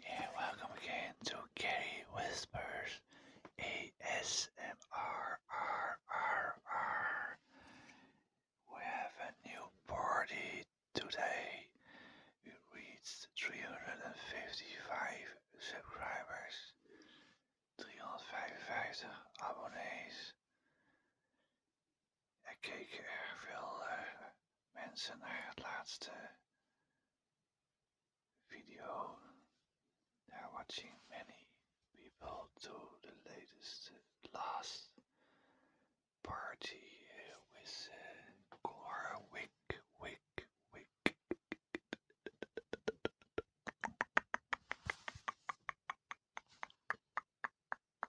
And welcome again to Gary Whispers ASMR. We have a new party today. We reached 355 subscribers, 355 abonnees ik keek veel mensen watching many people do the latest last party øh, with Cora øh, Wick Wick Wick.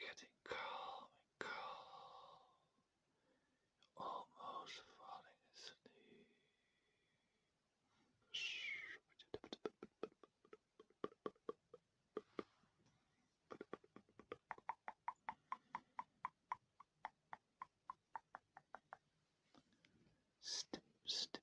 Getting calm and almost falling asleep. Step, step,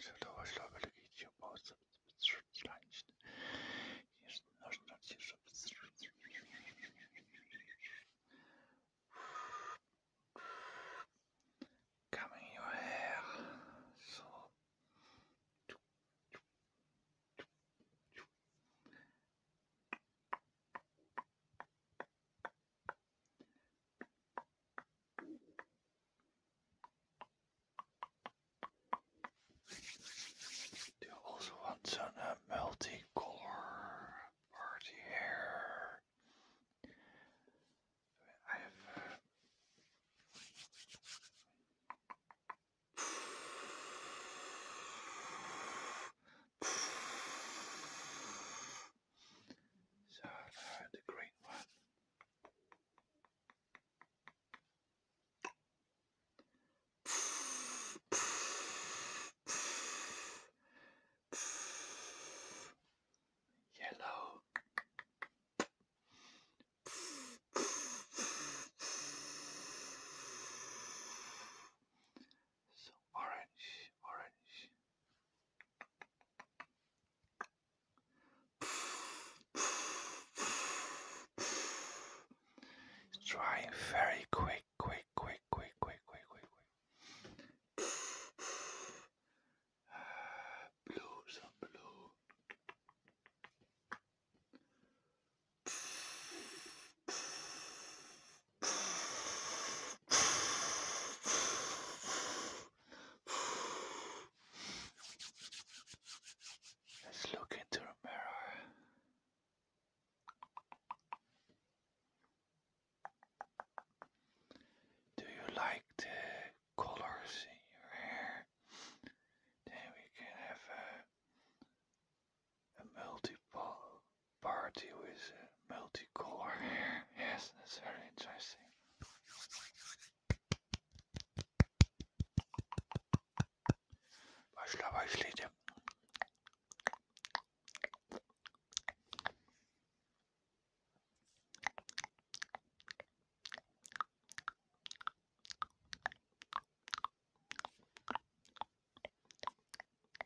Sildowo-ślowy Coming your hair. So. Do you also want some uh, multicolor party hair? I have. Uh, so uh, the green one. Yellow. So orange, orange. It's drying very quick, quick, quick, quick, quick, quick, quick, quick. blue, some blue. Let's look into the mirror. Do you like the colors in your hair? Then we can have a a multi-party with a multicolor hair. Yes, that's very interesting. Başla başlayacağım.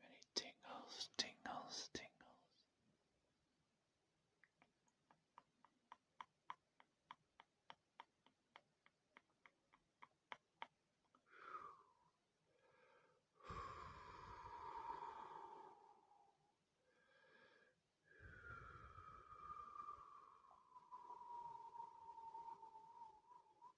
Many tingles, tingles, tingles.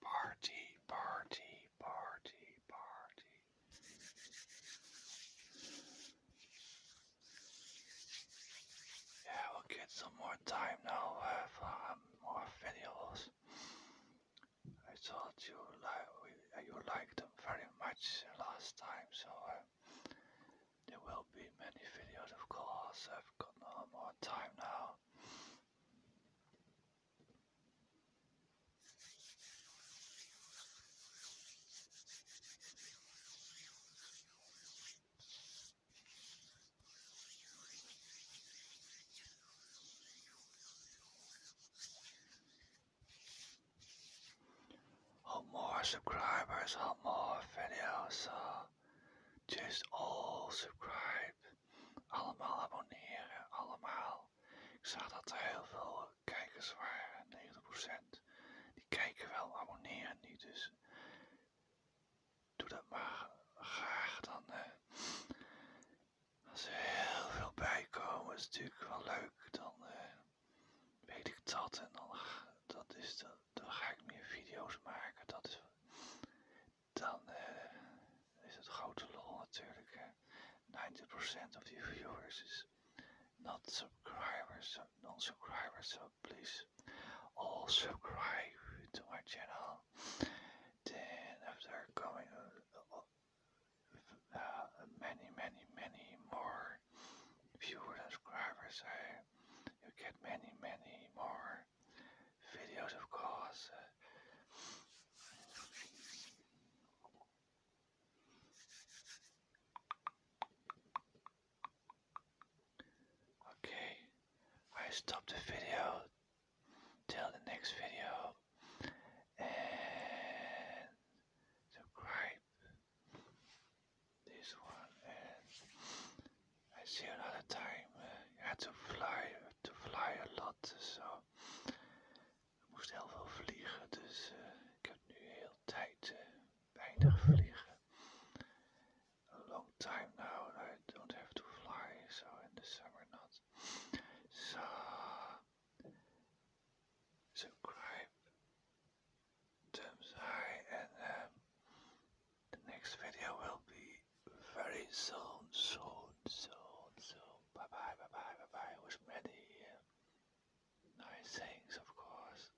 Party, party, party, party. Yeah, we'll get some more time now. We'll have uh, more videos. I told you li uh, you liked them very much last time, so uh, there will be many videos, of course. I've got lot more time now. How more subscribers, how more video's. Uh, just all subscribe. Allemaal abonneren, allemaal. Ik zag dat er heel veel kijkers waren, 90%. Die kijken wel, abonneren niet. Dus Doe dat maar graag dan. Als er heel veel bij komen, is natuurlijk wel leuk. Dan eh, weet ik dat en dan, dat is, dan, ga ik meer video's maken. Dat dan eh, is het grote lol natuurlijk. 90% of die viewers is not subscribers, non-subscribers, so please all subscribe to my channel. Then after coming uh, uh, many, many, many more viewers and subscribers, you get many, many more videos, of course. Oké, I stop de video till de volgende video En subscribe this one en I see another time. Ik eh, had to fly, te fly a lot, so ik moest heel veel vliegen, dus eh, ik heb nu heel tijd eh, weinig vliegen. a long time now and I don't have to fly, so in the summer not. So, subscribe, thumbs high, and um, the next video will be very soon, soon, soon, soon. Bye bye, bye bye, bye bye. With many uh, nice things, of course.